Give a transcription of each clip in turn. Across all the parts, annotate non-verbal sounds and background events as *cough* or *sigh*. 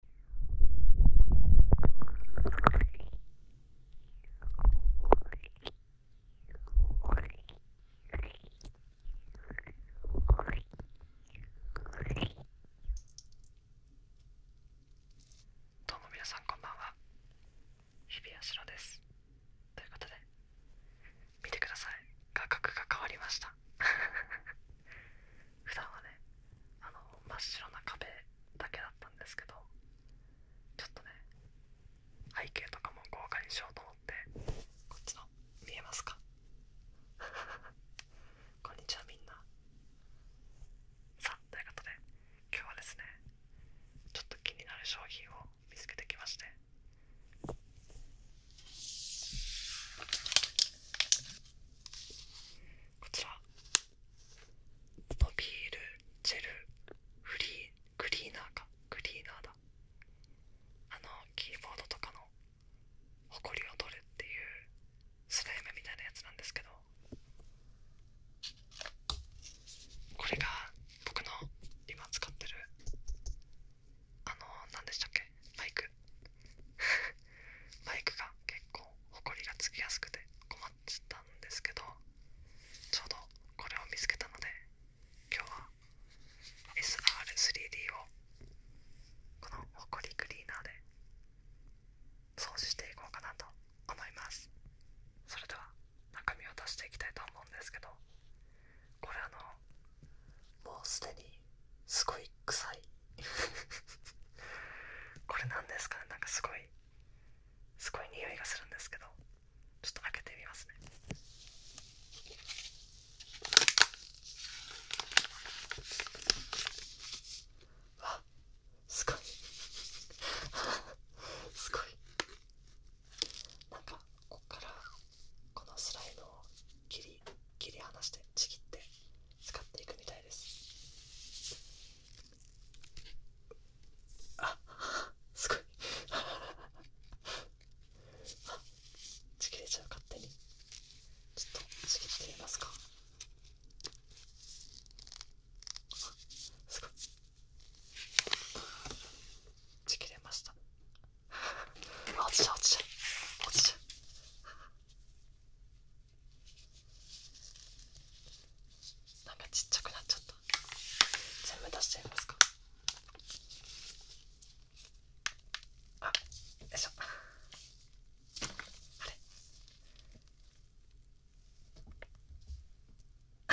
どうも皆さんこんばんは日比谷しですということで見てください画角が変わりました普段はねあの真っ白な壁だけだったんですけどちょっとね背景とかも豪華にしようと思ってこっちの見えますか *laughs* こんにちはみんなさあということで今日はですねちょっと気になる商品を見つけてきましてこちらモビールジェルフリークリーナーかクリーナーだあのキーボードとかのホコリを取るっていうスライムみたいなやつなんですけどこれが僕の今使ってるあの何でしたっけマイクマ *laughs* イクが結構ホコリがつきやすくて困っちゃったんですけどちょうどこれを見つけたので今日は SR3D をこのホコリクリーナーで掃除していこうかなと思いますそれでは中身を出していきたいと思うんですけどこれあのもうすでにすごい臭い *laughs* これなんですかねなんかすごいすごい匂いがするんですけどちょっと開けてみますねわすごい *laughs* すごいなんかこっからこのスライドを切り切り離してちぎって使っていくみたいですあすごいあちぎれちゃう勝手にちょっとちぎってみますかあすごいちぎれましたあ落ちちゃう落ちちゃう落ちちゃうなんかちっちゃくなっちゃった全部出しちゃいますかあよいしょあれ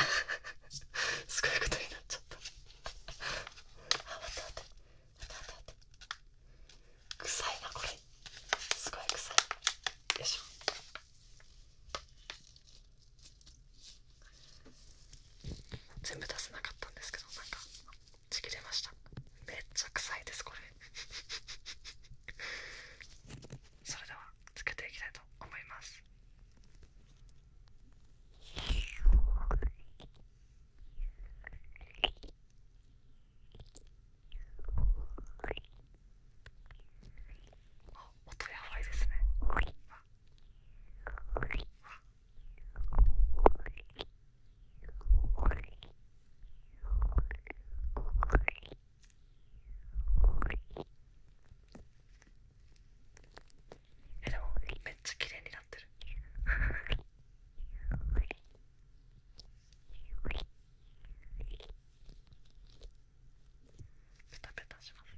*laughs* すごいことになっちゃったあ待って待って待て待て待て臭いなこれすごい臭いよいしょ全部出せなかったんですけどなんかちぎれましためっちゃ臭いですこれ *laughs* それではつけていきたいと思いますあ、音やばいですね。あえでもめっちゃ綺麗になってるペタペタします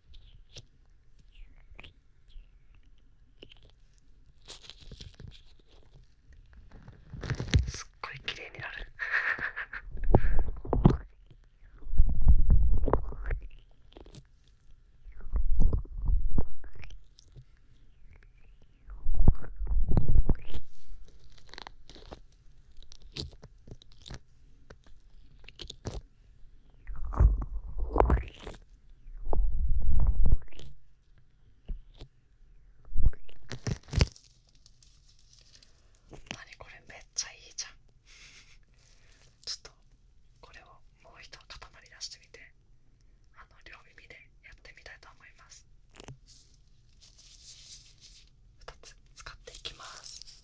すっごい綺麗になるなにこれめっちゃいいじゃんちょっとこれをもう一度固まり出してみてあの両耳でやってみたいと思います2つ使っていきます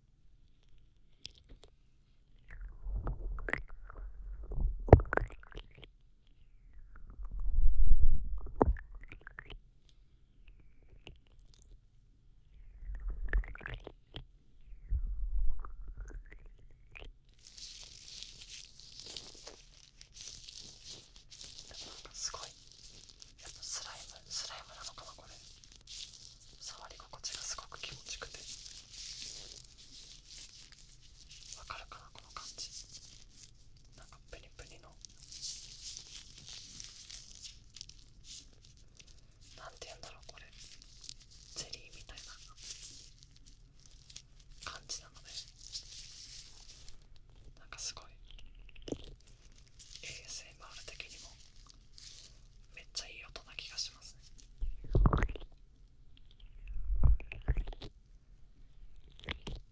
すごいスライムスライムなのかなこれ触り心地がすごく気持ちくてわかるかなこの感じなんかプニプニのなんて言うんだろうこれゼリーみたいな感じなのでなんかすごい ASMR 的にもめっちゃいい音な気がしますね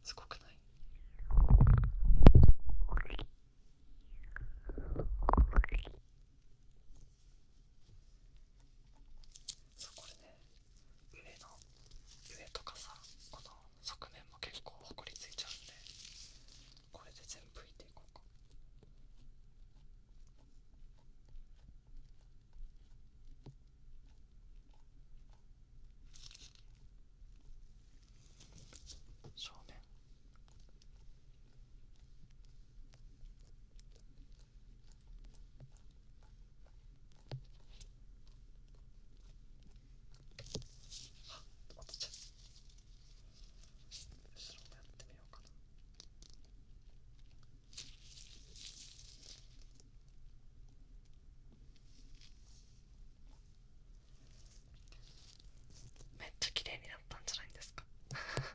すごくないそうこれね上の上とかさこの側面も結構ほこりついちゃうんでこれで全部いていこうか正面あっ落ちちゃった後ろもやってみようかなめっちゃ綺麗になったんじゃないですか *laughs*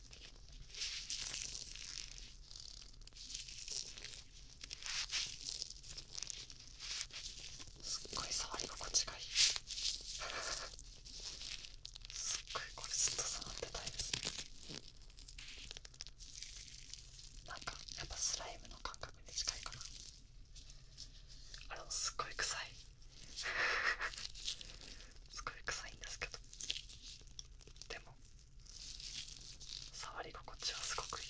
すっごい触り心地がいい *laughs* すっごいこれずっと触ってたいですねなんかやっぱスライムの感覚に近いかなあれもすっごい臭い *laughs* すごい臭いんですけどでも触り心地はすごくいい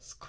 すごい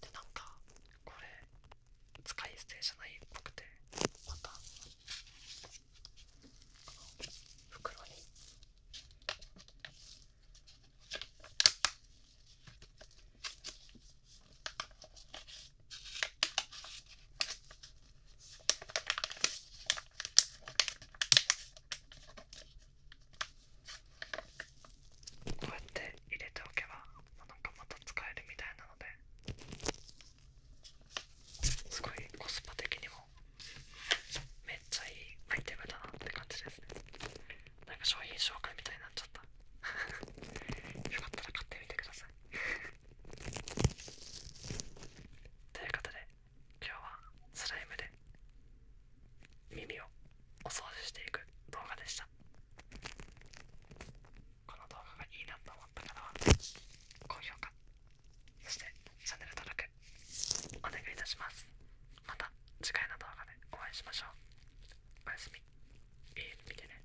でなんかこれ使い捨てじゃないっぽくてまたこの袋にこうやって入れておけばなんかまた使えるみたいなのですごいコスパ的にもめっちゃいいアイテムだなって感じですねなんか商品紹介みたいになっちゃった *laughs* よかったら買ってみてください *laughs* ということで今日はスライムで耳をお掃除していく動画でしたこの動画がいいなと思った方は高評価そしてチャンネル登録お願いいたしますまた次回の動画でお会いしましょうおやすみいい見てね